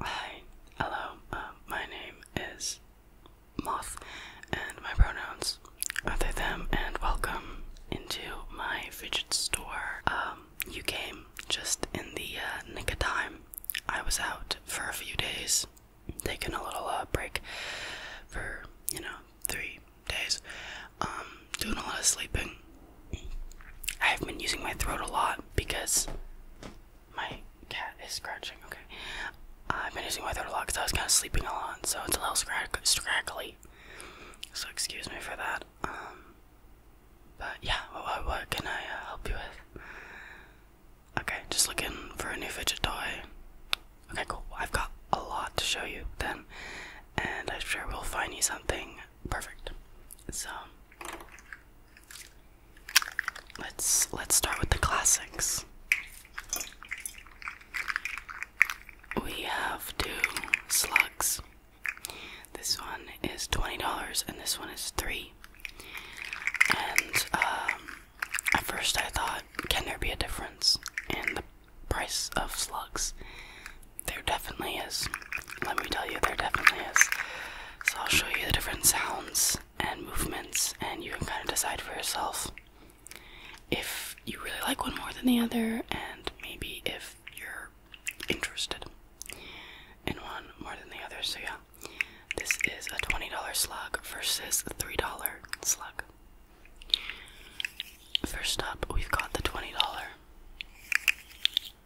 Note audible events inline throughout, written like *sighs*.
Hi, hello. Um, my name is Moth, and my pronouns are they them. And welcome into my fidget store. Um, you came just in the uh, nick of time. I was out for a few days, taking a little uh, break for you know three days. Um, doing a lot of sleeping. I have been using my throat a lot because my cat is scratching. Okay, I've been using my throat a lot because I was kind of sleeping a lot, so it's a little scrack scraggly. So excuse me for that. Um, but yeah, what, can I uh, help you with? Okay, just looking for a new fidget toy. Okay, cool. I've got a lot to show you then, and I'm sure we'll find you something Perfect. So let's let's start with the classics. We have two slugs. This one is twenty dollars and this one is three. And um, at first I thought, can there be a difference in the price of slugs? There definitely is. Let me tell you, there definitely is. So I'll show you the different sounds and movements, and you can kind of decide for yourself if you really like one more than the other, and maybe if you're interested in one more than the other. So, yeah, this is a $20 slug versus a $3 slug. First up, we've got the $20.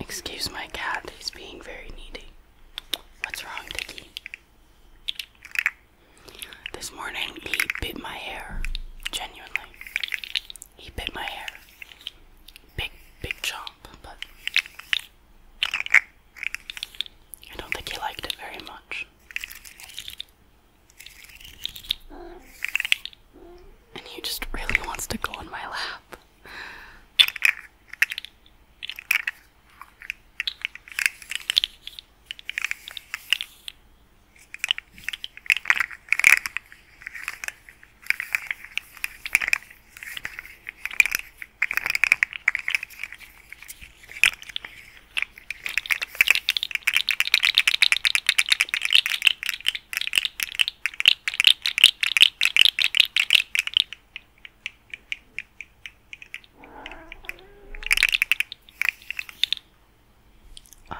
Excuse my cat, he's being very needy. What's wrong, Dickie? This morning he bit my hair. Genuinely. He bit my hair. Big, big chomp, but I don't think he liked it very much. And he just really wants to go on my lap. Um,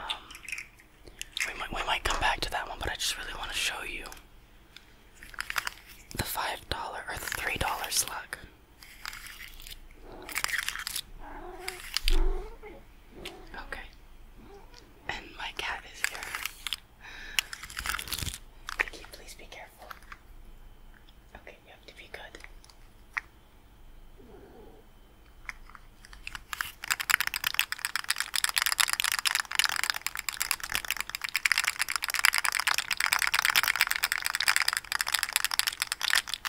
we might we might come back to that one, but I just really want to show you the five dollar or the three dollar slug. Okay. And my cat is here. Vicky, please be careful. Okay, you have to be good.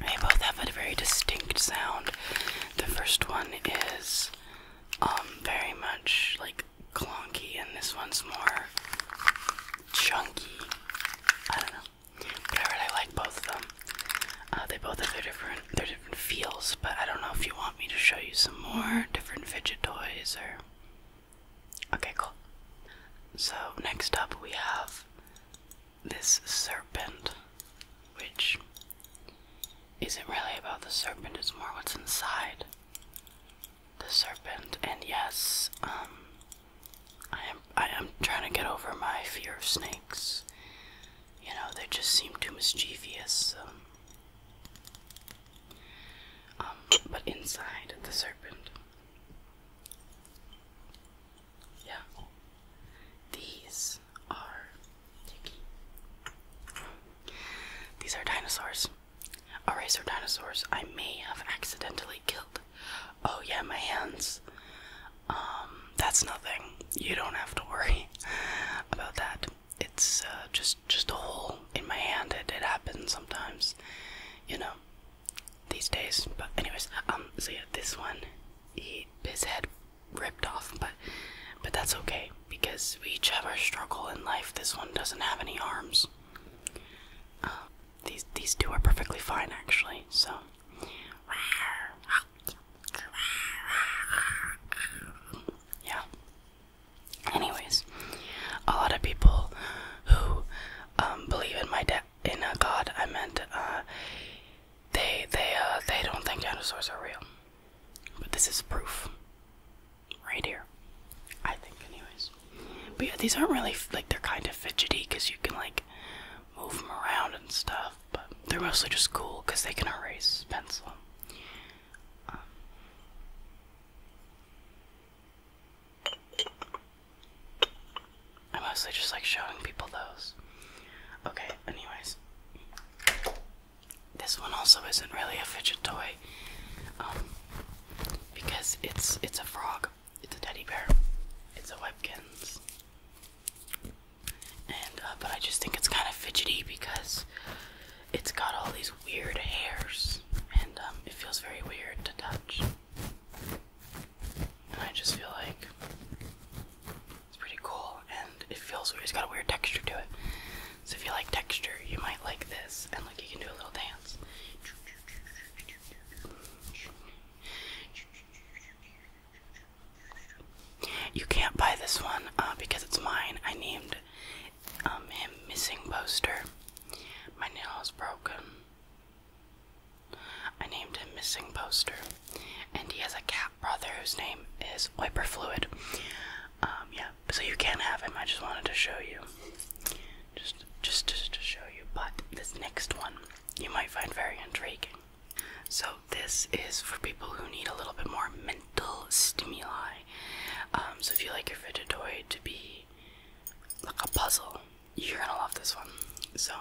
They both have a very distinct sound. The first one is um very much like clunky, and this one's more chunky. I don't know. But I really like both of them. Uh, they both have their different their different feels, but I don't know if you want me to show you some more different fidget toys or. Okay, cool. So next up we have this serpent, which isn't really about the serpent, it's more what's inside the serpent. And yes, um I am I am trying to get over my fear of snakes you know, they just seem too mischievous. Um, but inside the serpent, yeah, these are These are dinosaurs. Eraser dinosaurs I may have accidentally killed. Oh, yeah, my hands. Um, that's nothing. You don't have to worry *laughs* about that. It's uh, just just a hole in my hand. It, it happens sometimes, you know, these days. But anyways, um, so yeah, this one, he his head ripped off, but but that's okay because we each have our struggle in life. This one doesn't have any arms. Um, these these two are perfectly fine actually. So. Yeah. Anyways, a lot of people who um, believe in my in uh, God, I meant, uh, they they uh, they don't think dinosaurs are real. But this is proof, right here. I think, anyways. But yeah, these aren't really like they're kind of fidgety because you can like move them around and stuff, but they're mostly just cool because they can erase pencil. Um, I mostly just like showing people those. Okay, anyways. This one also isn't really a fidget toy. Um because it's it's a frog. It's a teddy bear. It's a Webkins and uh, but I just think it's kind of fidgety because it's got all these weird hairs, and um, it feels very weird to touch. And I just feel like it's pretty cool, and it feels It's got a weird texture to it. So if you like texture, you might like this. And look, you can do a little dance. You can't buy this one uh, because it's mine. I named um, him Missing Poster. My nail is broken. I named him Missing Poster. And he has a cat brother whose name is Wiper Fluid. Um, yeah, so you can not have him. I just wanted to show you. Just, just, just to show you. But this next one you might find very intriguing. So, this is for people who need a little bit more mental stimuli. Um, so, if you like your fidget toy to be like a puzzle, you're gonna love this one. So,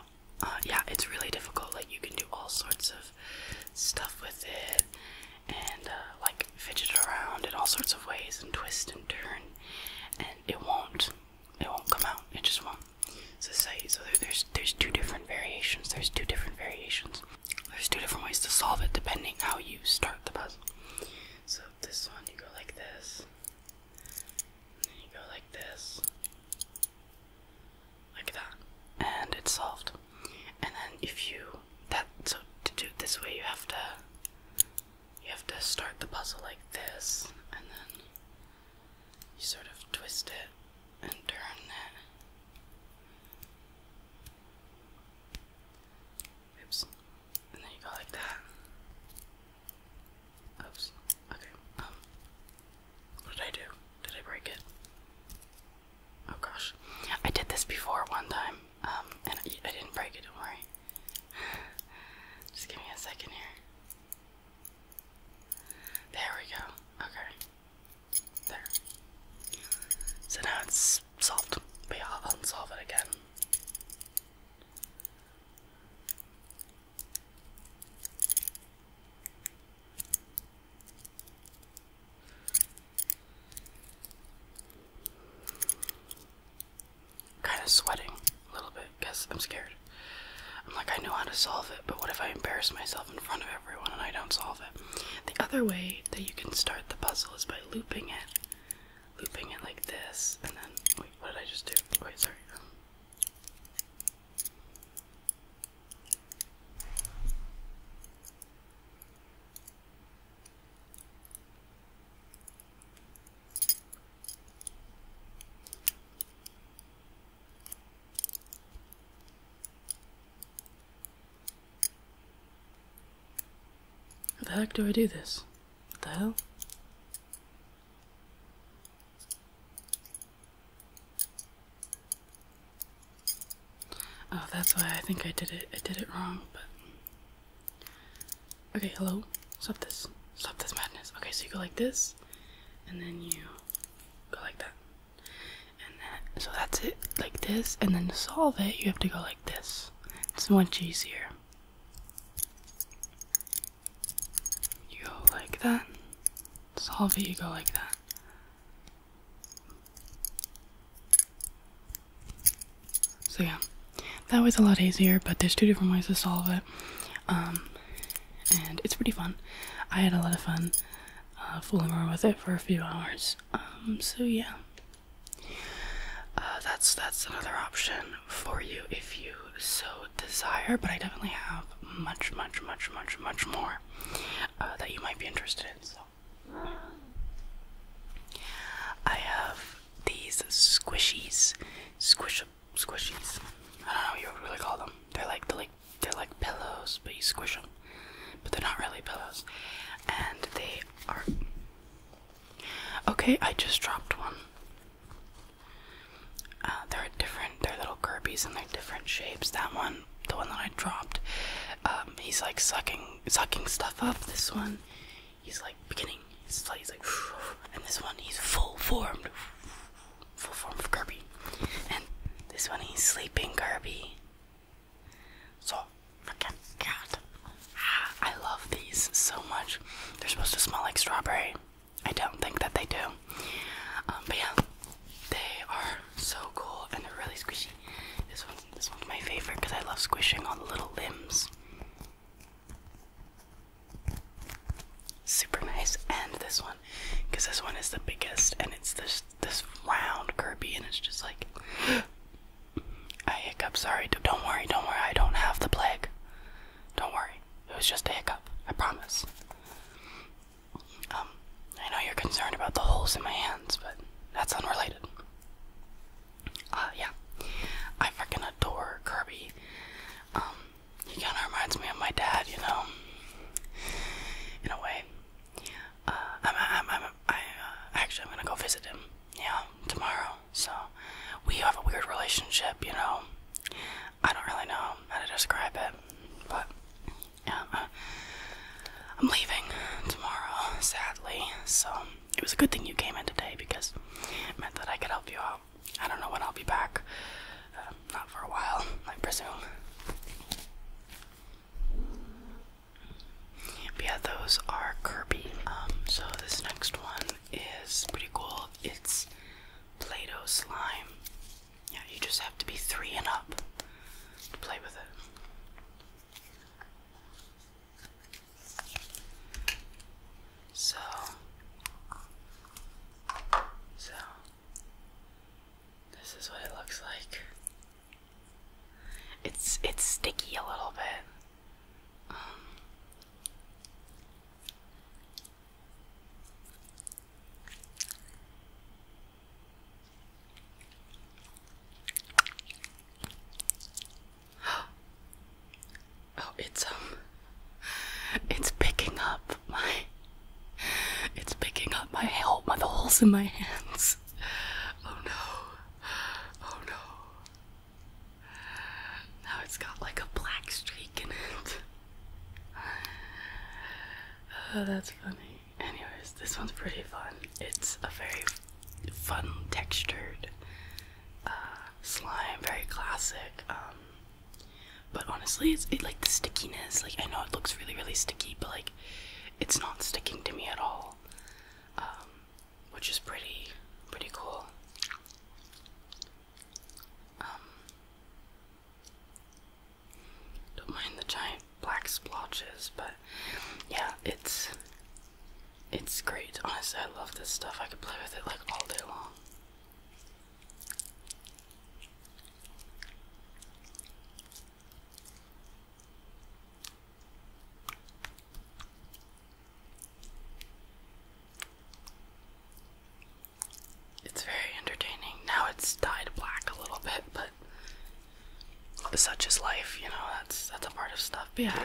uh, yeah, it's really difficult. Like, you can do all sorts of stuff with it and uh, like fidget around in all sorts of ways and twist and turn, and it won't. It won't come out. It just won't society. So there's there's two different variations. There's two different variations. There's two different ways to solve it depending how you start the puzzle. So this one you go like this. then you go like this. Like that. And it's solved. And then if you that so to do it this way you have to you have to start the puzzle like this and then you sort of twist it and turn it. Oops. And then you go like that. Oops. Okay. Um. What did I do? Did I break it? Oh gosh. I did this before one time. Um. And I, didn't break it. Don't worry. *sighs* Just give me a second here. There we go. Okay. There. So now it's solved. But I'll unsolve it again. Kind of sweating a little bit because I'm scared. I'm like, I know how to solve it, but what if I embarrass myself in front of everyone and I don't solve it? The other way that you can start the puzzle is by looping it. Looping it like this, and then, wait, what did I just do? Wait, sorry. What the heck do I do this? What the hell? Oh, that's why I think I did it. I did it wrong, but. Okay, hello. Stop this. Stop this madness. Okay, so you go like this, and then you go like that so that's it like this and then solve it you have to go like this it's much easier you go like that solve it you go like that so yeah that was a lot easier but there's two different ways to solve it um, and it's pretty fun. I had a lot of fun uh, fooling around with it for a few hours. Um, so yeah, uh, that's that's another option for you if you so desire. But I definitely have much, much, much, much, much more uh, that you might be interested in. So. I have these squishies, squish squishies. I don't know what you really call them. They're like the like they're like pillows, but you squish them. But they're not really pillows. And they are. Okay, I just dropped one. Uh, they're different. They're little Kirby's and they're different shapes. That one, the one that I dropped, um, he's like sucking, sucking stuff up. This one, he's like beginning. he's like and this one, he's full formed full form of Kirby. And this one is sleeping Kirby. So freaking God. Ah, I love these so much. They're supposed to smell like strawberry. I don't think that they do. Um, but yeah, they are so cool and they're really squishy. This one's this one's my favorite because I love squishing all the little limbs. Super nice, and this one because this one is the biggest and it's this this round Kirby and it's just like I *gasps* hiccup. Sorry, don't worry, don't worry. I don't have the plague. Don't worry. It was just a hiccup. I promise. Um, I know you're concerned about the holes in my hands, but that's unrelated. Uh, yeah. I freaking adore Kirby. Um, he kind of reminds me of my dad, you know, in a way. Uh, I'm, uh, actually, I'm gonna go visit him, yeah, tomorrow. So, we have a weird relationship, you know. I don't really know how to describe it, but yeah, uh, I'm leaving tomorrow, sadly. So, it was a good thing you came in today because it meant that I could help you out. I don't know when I'll be back. Uh, not for a while, I presume. yeah, those are Kirby. Um, so this next one is pretty cool. It's Play-Doh slime. Yeah, you just have to be three and up to play with it. So, so this is what it looks like. It's it's sticky a little bit. Um. *gasps* oh, it's um, it's picking up my it's picking up my help, my the holes in my hands. Oh no. Oh no. Now it's got like a black streak in it. Oh, that's funny. Anyways, this one's pretty fun. It's a very fun textured uh, slime, very classic. Um, but honestly, it's it, like the stickiness. Like I know it looks really, really sticky, but like it's not sticking to me at all, um, which is pretty, pretty cool. Um, don't mind the giant black splotches, but yeah, it's it's great. Honestly, I love this stuff. I could play with it like all day long. It's very entertaining. Now it's dyed black a little bit, but such is life, you know, that's that's a part of stuff. yeah.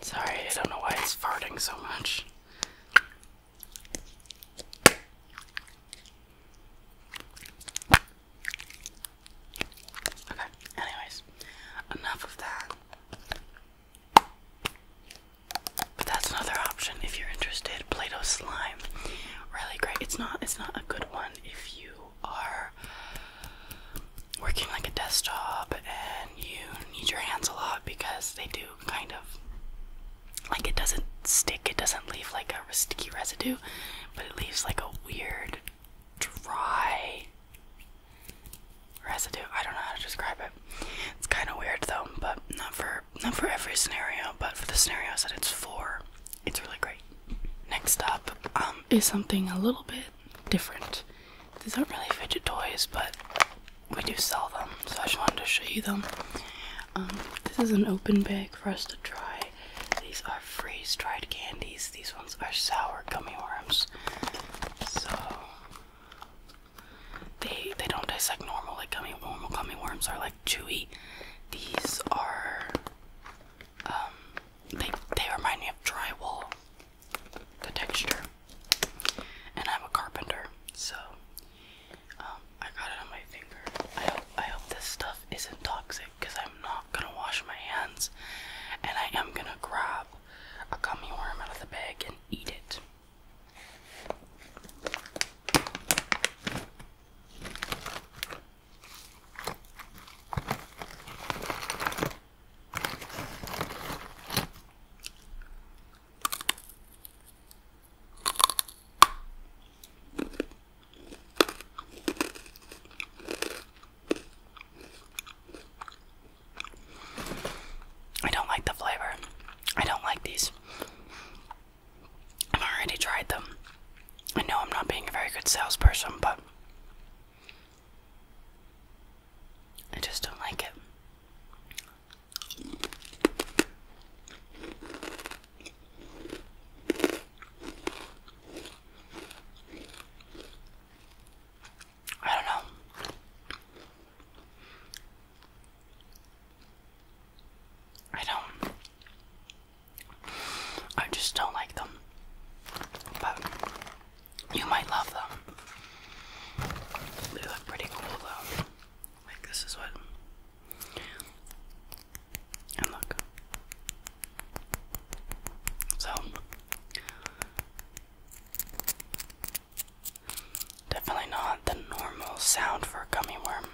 Sorry, I don't know why it's farting so much. Okay, anyways, enough of that. But that's another option if you're interested. Play-Doh slime, really great. It's not it's not a good one if you are working like a desk job and you need your hands a lot because they do kind of like it doesn't stick. It doesn't leave like a sticky residue, but it leaves like a weird dry residue. I don't know how to describe it. It's kind of weird though, but not for not for every scenario, but for the scenarios that it's for, it's really great. Next up um, is something a little bit different. These aren't really fidget toys, but we do sell them, so I just wanted to show you them. Um, this is an open bag for us to try. These are freeze-dried candies. These ones are sour gummy worms. So they they don't taste like normal like gummy normal gummy worms are like chewy. These are um they they remind me of drywall. The texture. And I'm a carpenter, so um, I got it on my finger. I I hope this stuff isn't toxic because I'm not gonna wash my hands and I am gonna grab a gummy worm out of the bag and eat it. I don't like the flavor. I don't like these. I've already tried them. I know I'm not being a very good salesperson, but I just don't like it. I don't know. I don't. I just don't like them. But you might love them. They look pretty cool though. Like this is what. And look. So. Definitely not the normal sound for a gummy worm.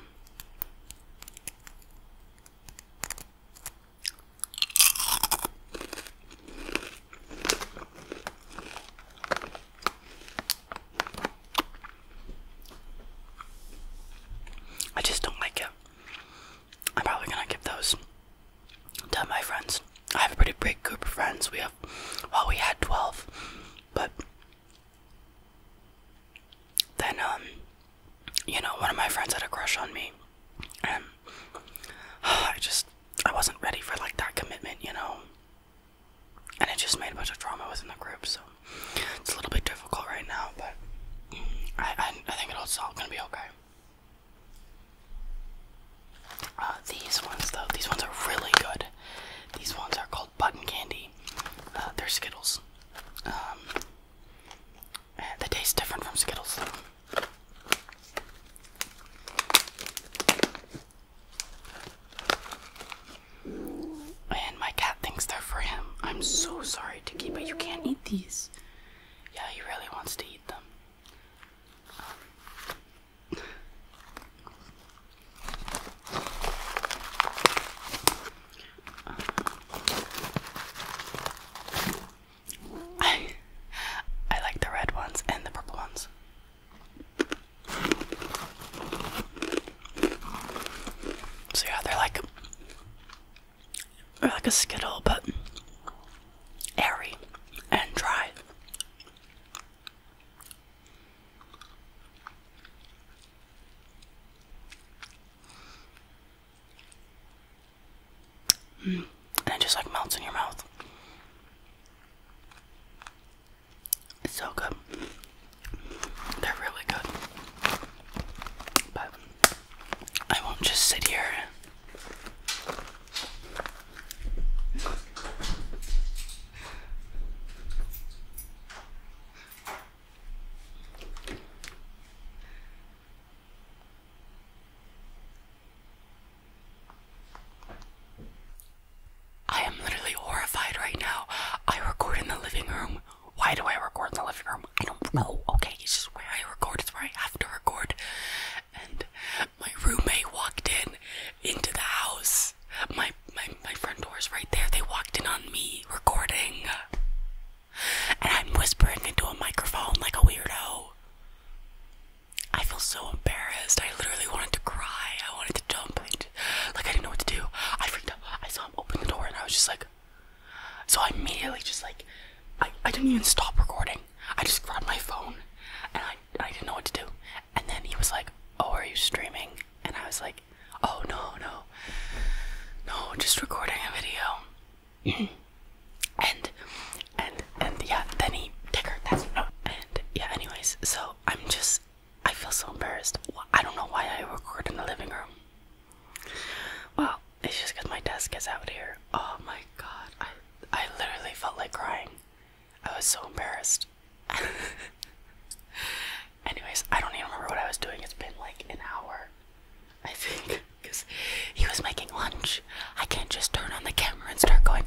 I just don't like it. I'm probably gonna give those to my friends. I have a pretty big group of friends. We have, well, we had 12, but then, um, you know, one of my friends had a crush on me, and *sighs* I just, I wasn't ready for like that commitment, you know. And it just made a bunch of drama within the group, so it's a little bit difficult right now, but I, I, I think it's all gonna be okay. Uh, these ones though, these ones are really good. These ones are called button candy. Uh, they're Skittles. Um, they taste different from Skittles. And my cat thinks they're for him. I'm so sorry, Tiki, but you can't eat these. Yeah, he really wants to eat them. Um, I like the red ones and the purple ones. So yeah, they're like they're like a skittle, but airy and dry. Mm. And it just like melts in your mouth. It's so good. They're really good. But I won't just sit here. I am literally horrified right now. I record in the living room. Why do I record in the living room? I don't know. Okay, it's just where I record, it's where I have to record. And my roommate walked in into the house. My my, my, my front door's right there. They walked in on me recording. And I'm whispering into a microphone like a weirdo. I feel so embarrassed. I literally wanted to cry. I wanted to jump. Like, I didn't know what to do. I freaked out. I saw him open the door and I was just like. So I immediately just like. I, I didn't even stop recording. I just grabbed my phone and I, I didn't know what to do. And then he was like, Oh, are you streaming? And I was like, Oh no, no. No, just recording a video. and and and yeah, then he Ticker, that's no oh, and yeah, anyways, so I'm just I feel so embarrassed. I don't know why I record in the living room. Well, it's just because my desk is out here. Oh my god, I I literally felt like crying. I was so embarrassed. *laughs* Anyways, I don't even remember what I was doing. It's been like an hour, I think, because he was making lunch. I can't just turn on the camera and start going,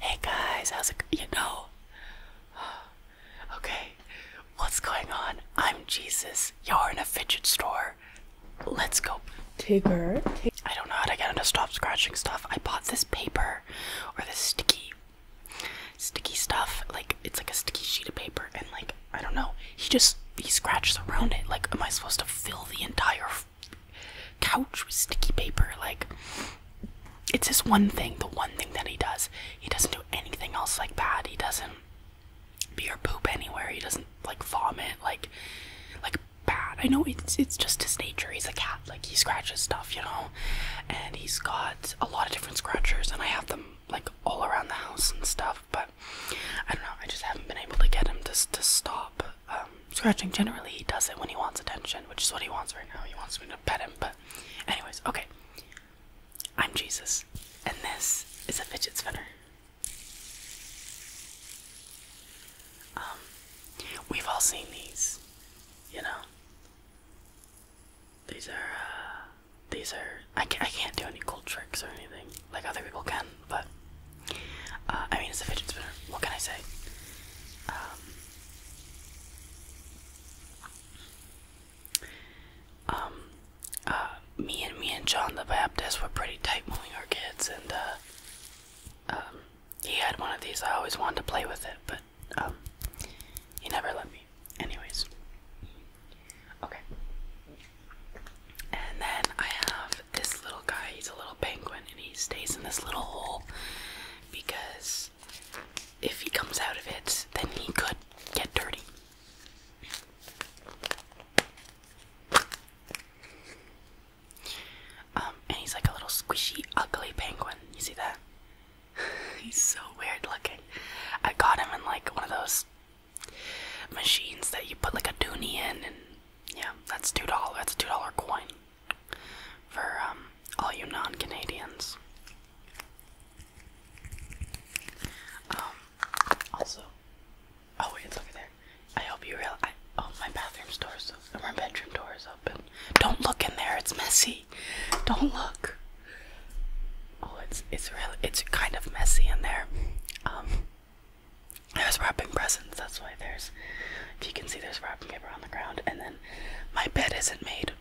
hey guys, how's it, you know? *sighs* Okay, what's going on? I'm Jesus. You're in a fidget store. Let's go. Tigger. I don't know how to get him to stop scratching stuff. I bought this paper or this sticky sticky stuff. Like it's like a sticky sheet of paper, and like I don't know. He just he scratches around it. Like, am I supposed to fill the entire couch with sticky paper? Like, it's this one thing. The one thing that he does. He doesn't do anything else like that. He doesn't pee or poop anywhere. He doesn't like vomit. Like, like bad. I know it's it's just his nature. He's a cat. Like he scratches stuff. You know and he's got a lot of different scratchers, and I have them like all around the house and stuff. But I don't know. I just haven't been able to get him to to stop um, scratching. Generally, he does it when he wants attention, which is what he wants right now. He wants me to pet him. But, anyways, okay. I'm Jesus, and this is a fidget spinner. Um, we've all seen these, you know. These are, uh, these are, I can't, do any cool tricks or anything like other people can, but, uh, I mean, it's a fidget spinner. What can I say? Um, um uh, me and me and John the Baptist were pretty tight when our kids, and, um, he had one of these. I always wanted to play with it, but he um, never let me. Anyways. Okay. And then I have this little guy, he's a little penguin and he stays in this little hole because if he comes out of it, then he could get dirty. Um, and he's like a little squishy, ugly penguin. You see that? *laughs* He's so weird looking. I got him in like one of those machines that you put like a dooney in, and yeah, that's two dollar. That's a two dollar coin for um, all you non-Canadians. Um, also, oh wait, it's over there. I hope you realize. oh, my bathroom door is my bedroom door is don't look in there. It's messy. Don't look. Oh, it's it's really it's kind of messy in there. Um, I was wrapping presents. That's why there's, if you can see, there's wrapping paper on the ground. And then my bed isn't made.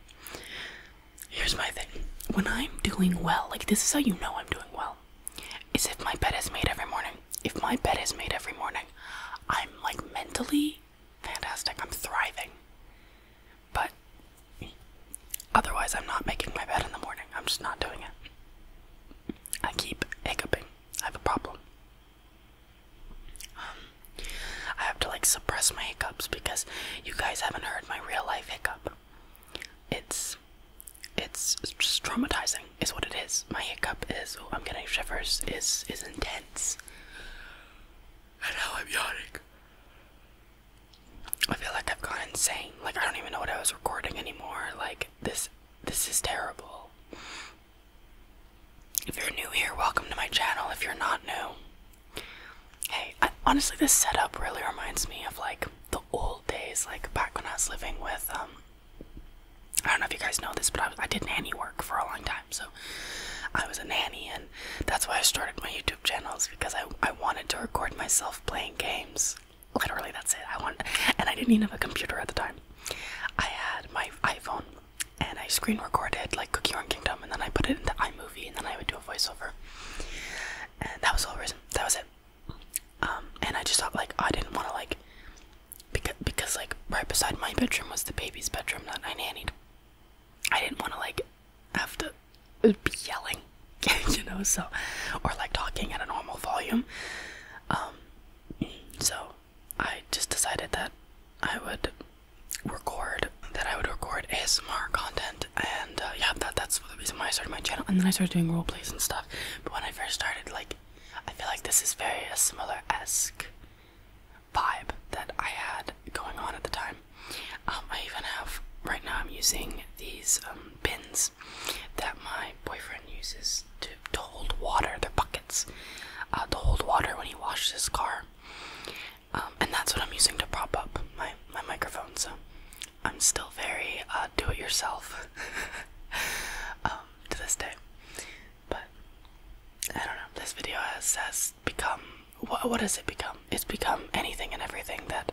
Here's my thing. When I'm doing well, like this is how you know I'm doing well, is if my bed is made every morning. If my bed is made every morning, I'm like mentally fantastic. I'm thriving. But otherwise, I'm not making my bed in the morning. I'm just not doing it. I keep hiccuping. I have a problem. Um, I have to like suppress my hiccups because you guys haven't heard my real life hiccup. It's it's just traumatizing is what it is. My hiccup is oh I'm getting shivers is is intense. And now I'm yawning. I feel like I've gone insane. Like I don't even know what I was recording anymore. Like this this is terrible. If you're new here, welcome to my channel. If you're not new, hey, honestly, this setup really reminds me of like the old days, like back when I was living with um. I don't know if you guys know this, but I, did nanny work for a long time, so I was a nanny and that's why I started my YouTube channels because I I wanted to record myself playing games. Literally, that's it. I want, and I didn't even have a computer at the time. I had my iPhone, and I screen recorded like Cookie Run Kingdom, and then I put it into iMovie, and then I would do a voiceover. And that was the whole reason. That was it. Um, and I just thought like I didn't want to like, because because like right beside my bedroom was the baby's bedroom that I nannied. I didn't want to like have to uh, be yelling, *laughs* you know, so, or like talking at a normal volume. Um, so I just decided that I would record, that I would record ASMR content, and uh, yeah, that, that's the reason I started my channel, and then I started doing role plays and stuff. But when I first started, like, I feel like this is very uh, similar esque vibe that I had going on at the time. Um, I even have right now. I'm using these um, bins that my boyfriend uses to, to hold water. They're buckets uh, to hold water when he washes his car, um, and that's what I'm using to prop up my my microphone. So I'm still very uh, do-it-yourself *laughs* to this day. But I don't know. This video has, has become what, what has it become? It's become anything and everything that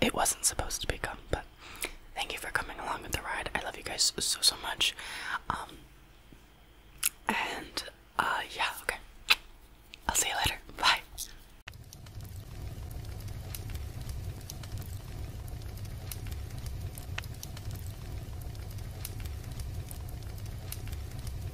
it wasn't supposed to become. But thank you for coming along with the ride. I love you guys so so much. Um, and uh, yeah, okay. I'll see you later. Bye.